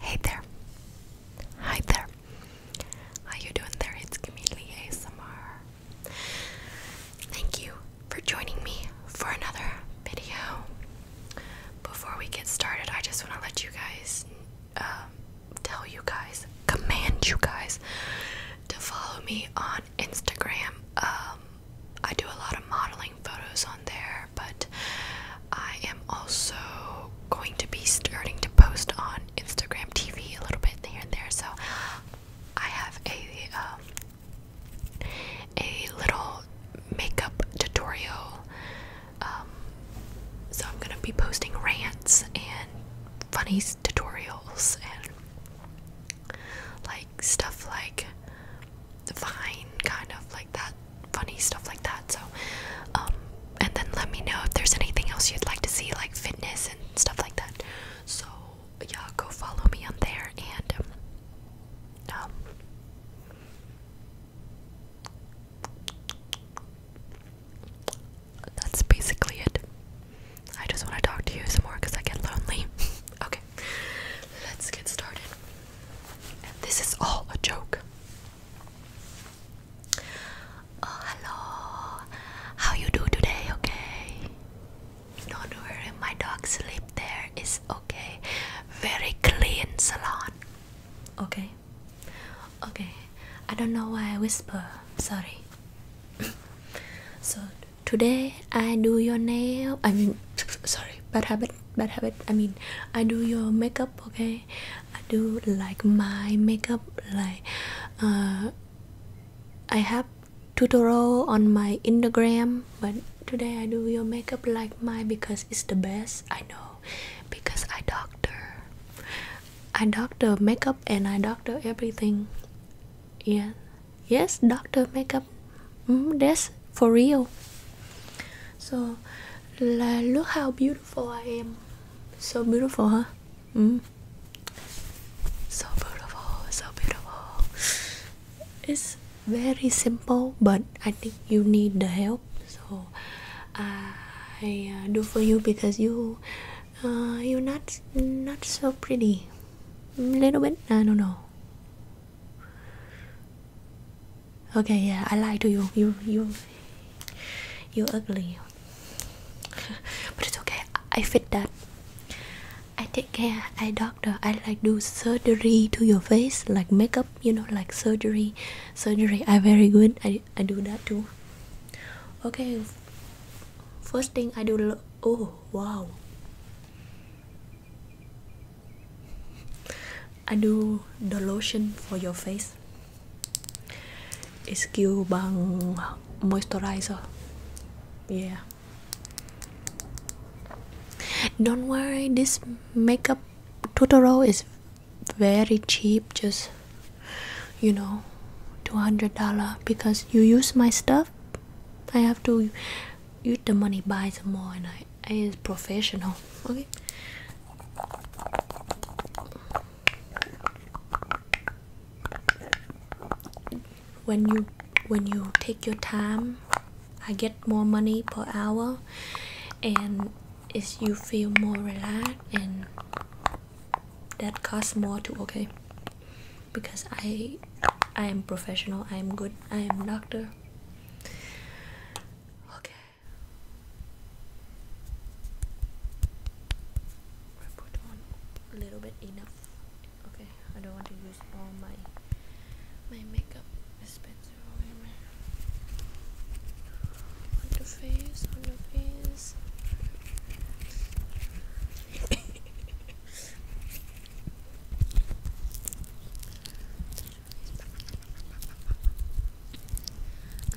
Hey there. Hi there. How you doing there? It's Camille ASMR. Thank you for joining me for another video. Before we get started, I just want to let you guys, um, tell you guys, command you guys to follow me on Instagram. Um, I do a lot of modeling photos on there but I am also going to be starting to post on Instagram TV a little bit here and there. So I have a um, a little makeup tutorial. Um, so I'm gonna be posting rants and funny tutorials and like stuff like Vine, kind of like that funny stuff like that. So, um, and then let me know if there's anything else you'd like to see, like fitness and stuff like that. So, yeah, go follow me on there and, um, um that's basically it. I just want to talk to you some more because I get lonely. okay, let's get started. And this is all a joke. Oh, hello. How you do today? Okay. no not worry, my dog sleep there. It's okay. Very clean salon. Okay. Okay. I don't know why I whisper. Sorry. so today I do your nail. I mean, sorry. Bad habit. Bad habit. I mean, I do your makeup. Okay. I do like my makeup like uh, I have tutorial on my Instagram but today I do your makeup like mine because it's the best I know because I doctor I doctor makeup and I doctor everything yeah yes doctor makeup mm, that's for real so look how beautiful beautiful I am. So beautiful, huh? Mm. So beautiful, so beautiful. It's very simple, but I think you need the help. So I uh, do for you because you uh, you're not not so pretty. Little bit, I don't know. Okay, yeah, I lie to you. You, you, you ugly. but it's okay. I fit that. I take care. I doctor. I like do surgery to your face, like makeup. You know, like surgery. Surgery. I very good. I I do that too. Okay. First thing I do. Oh wow. I do the lotion for your face Skill bằng moisturizer Yeah Don't worry this makeup tutorial is very cheap just you know $200 because you use my stuff I have to use the money buy some more and I is professional. Okay. When you when you take your time, I get more money per hour, and if you feel more relaxed and that costs more too. Okay, because I I am professional. I am good. I am doctor. Okay. I put on a little bit enough okay I don't want to use all my my makeup dispenser on the face on the face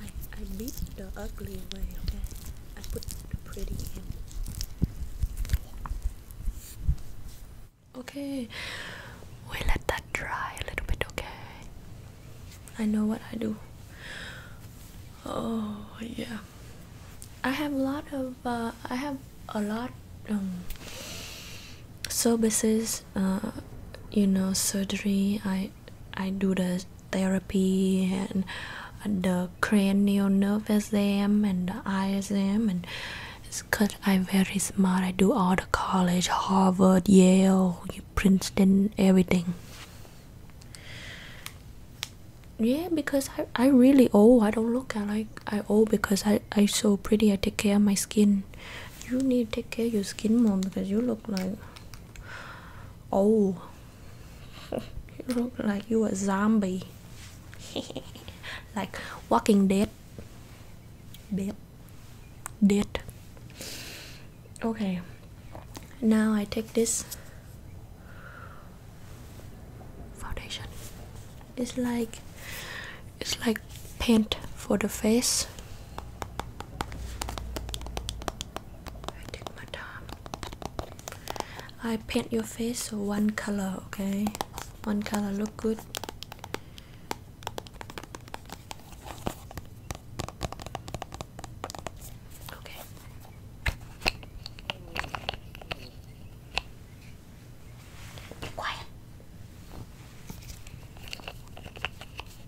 I I beat the ugly away, okay? I put the pretty in. Okay, we let that dry a little bit, okay? I know what I do. Oh yeah, I have a lot of uh, I have a lot um services uh, you know surgery i i do the therapy and the cranial nerve exam and the eye exam and it's because i'm very smart i do all the college harvard yale princeton everything yeah because i i really old i don't look I like i old because i i so pretty i take care of my skin you need to Okay, care your skin more because you look like oh you look like you a zombie like walking dead dead okay now i take this foundation it's like it's like paint for the face. I paint your face one color, okay? One color look good. Okay. Be quiet.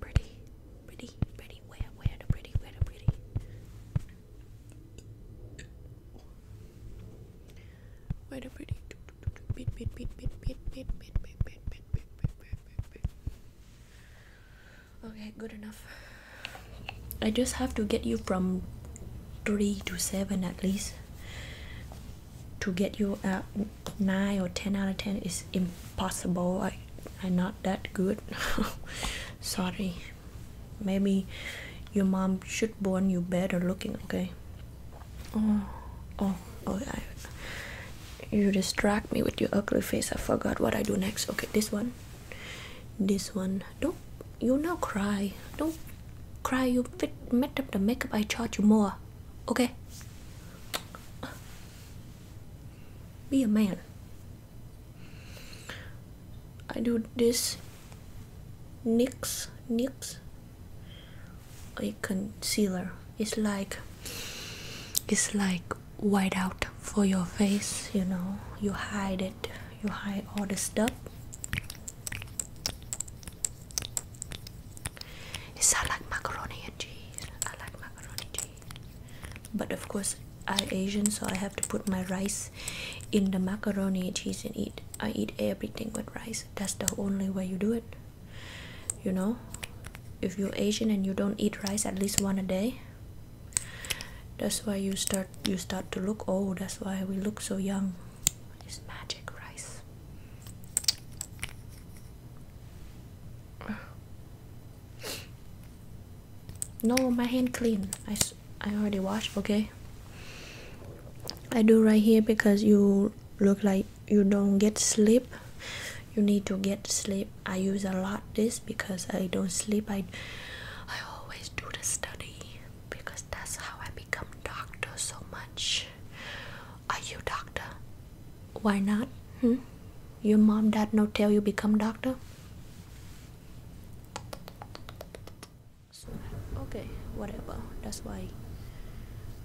pretty, pretty, pretty, where, where the pretty, where the pretty. Where the pretty Okay, good enough. I just have to get you from three to seven at least. To get you at nine or ten out of ten is impossible. I am not that good. Sorry. Maybe your mom should born you better looking, okay? Oh, oh, oh! I, you distract me with your ugly face. I forgot what I do next. Okay, this one, this one. Don't you now cry? Don't cry. You fit met up the makeup. I charge you more. Okay. Be a man. I do this NYX NYX a concealer it's like it's like white out for your face you know you hide it you hide all the stuff it like macaroni and cheese but of course i Asian so I have to put my rice in the macaroni cheese and eat I eat everything with rice that's the only way you do it you know if you're Asian and you don't eat rice at least one a day that's why you start you start to look old that's why we look so young it's magic rice no, my hand clean. I, I already washed, okay? I do right here because you look like you don't get sleep. You need to get sleep. I use a lot this because I don't sleep. I I always do the study because that's how I become doctor so much. Are you doctor? Why not? Hmm? Your mom, dad, no tell you become doctor. Okay, whatever. That's why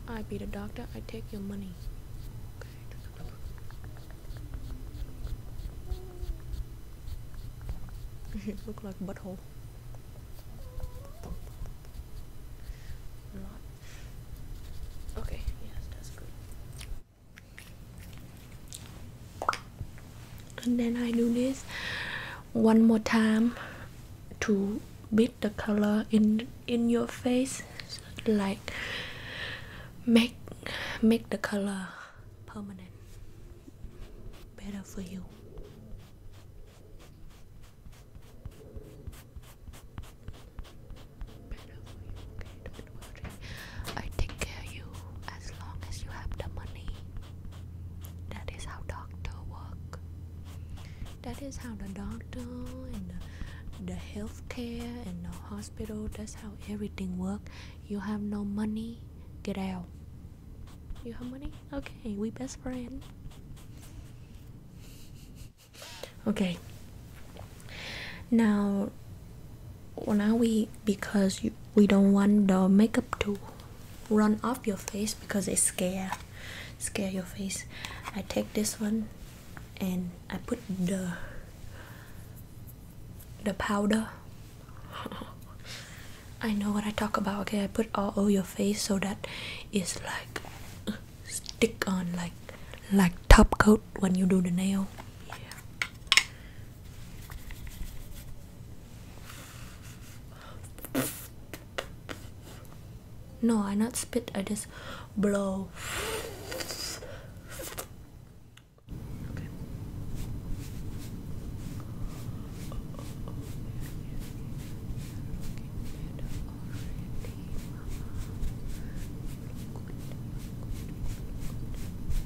I be the doctor. I take your money. Okay. Look like butthole. Okay, yes, that's good and then I do this one more time to beat the color in in your face like make make the color permanent better for you I take care you as long as you have the money. That is how doctor work. That is how the doctor and the, the healthcare and the hospital. That's how everything work. You have no money, get out. You have money? Okay, we best friend. Okay now now we because we don't want the makeup to run off your face because it scare scare your face i take this one and i put the the powder i know what i talk about okay i put all over your face so that it's like stick on like like top coat when you do the nail. Yeah. No, I not spit. I just blow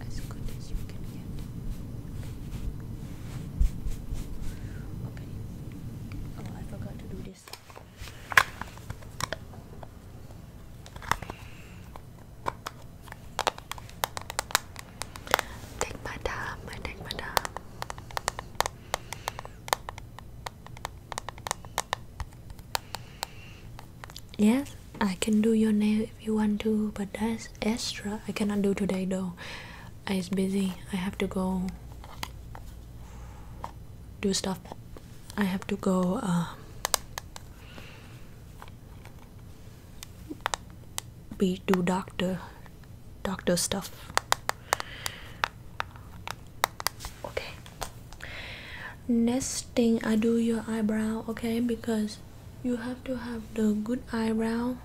as good as you can get. Okay. Oh, I forgot to do this. Take my time, I take my time. Yes, I can do your nail if you want to, but that's extra. I cannot do today though. I is busy. I have to go do stuff. I have to go uh, be do doctor doctor stuff. Okay next thing i do your eyebrow okay because you have to have the good eyebrow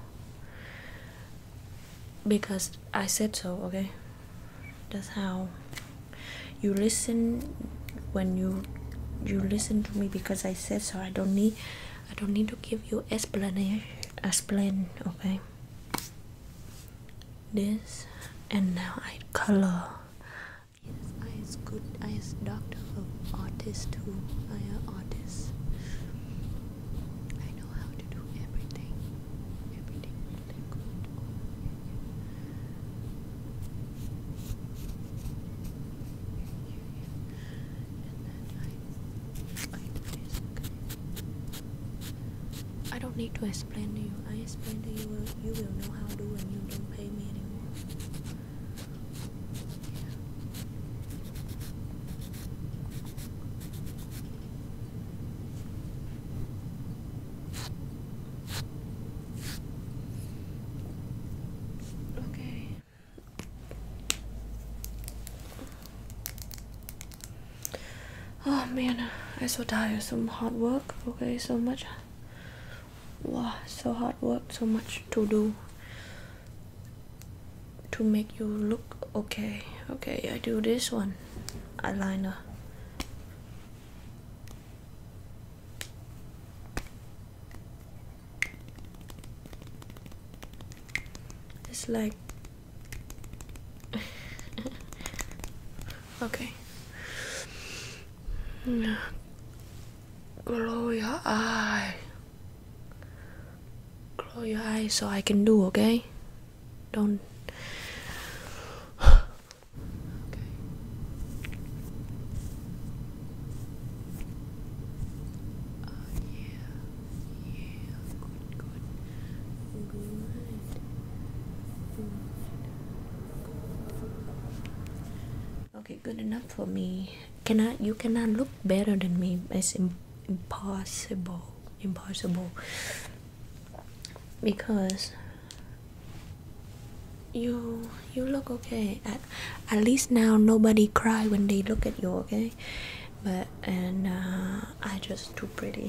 because i said so okay that's how you listen when you you listen to me because i said so i don't need i don't need to give you explanation explain okay this and now i color Yes, I is good. I is doctor of artist who I am artist. I know how to do everything. Everything I, do I don't need to explain to you. I explain to you. You will know how to do, and you don't pay me anymore. Okay. Oh man, I so tired. Some hard work. Okay, so much wow so hard work so much to do to make you look okay okay i do this one eyeliner it's like okay Glow your eye. glow your eye, so I can do, okay? Don't. okay good enough for me cannot you cannot look better than me it's impossible impossible because you you look okay at, at least now nobody cry when they look at you okay but and uh, i just too pretty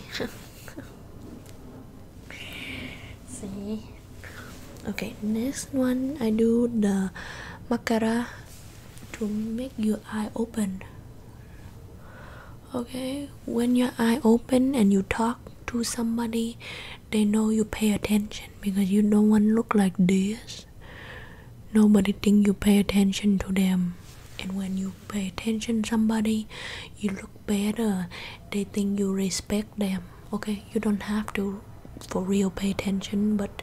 see okay next one i do the mascara to make your eye open okay when your eye open and you talk to somebody they know you pay attention because you don't want look like this nobody think you pay attention to them and when you pay attention somebody you look better they think you respect them okay you don't have to for real pay attention but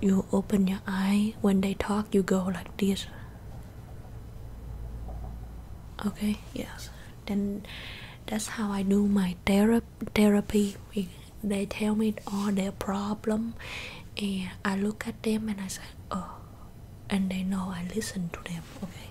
you open your eye when they talk you go like this okay yes then that's how i do my thera therapy they tell me all their problem and i look at them and i say oh and they know i listen to them okay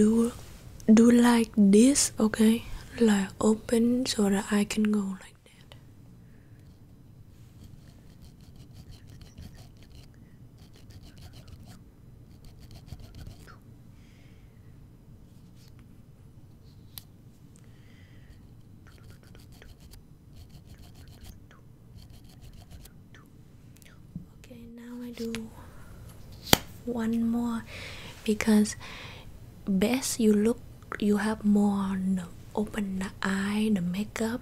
do do like this okay like open so that i can go like that Okay, now I do one more because best you look you have more open the eye the makeup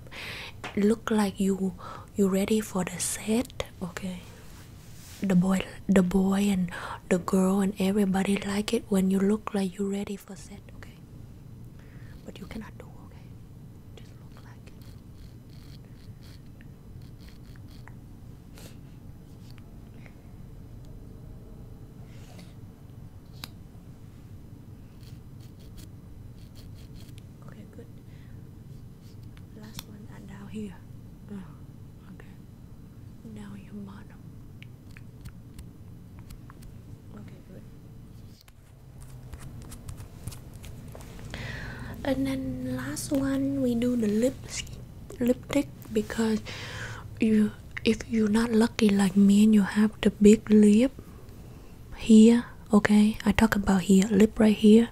look like you you ready for the set okay the boy the boy and the girl and everybody like it when you look like you ready for set okay but you cannot do okay just look like it Okay, good. Last one and down here. Oh, okay. Now your bottom. Okay, good. And then last one we do the lips lipstick because you if you're not lucky like me and you have the big lip here okay i talk about here lip right here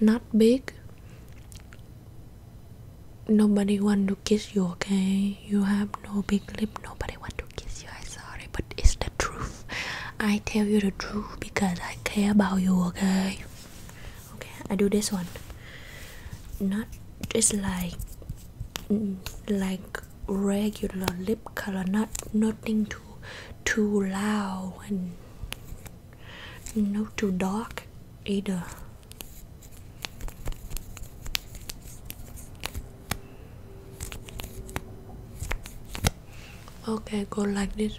not big nobody want to kiss you okay you have no big lip nobody want to kiss you i sorry but it's the truth i tell you the truth because i care about you okay okay i do this one not just like like regular lip color not nothing too too loud and not too dark either okay go like this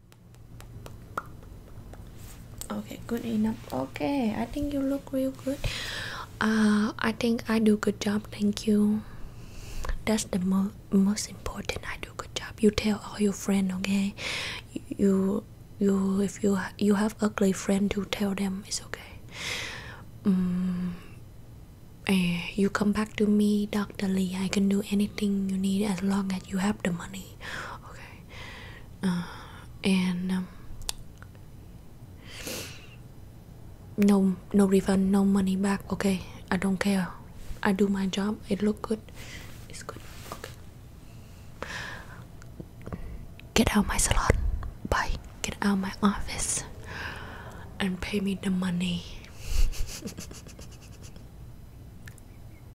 okay good enough okay i think you look real good uh i think i do good job thank you that's the most important i do good job you tell all your friends okay you you if you you have ugly friend you tell them it's okay um, you come back to me dr lee i can do anything you need as long as you have the money okay uh, and um, no no refund no money back okay i don't care i do my job it look good it's good okay get out my salon bye get out my office and pay me the money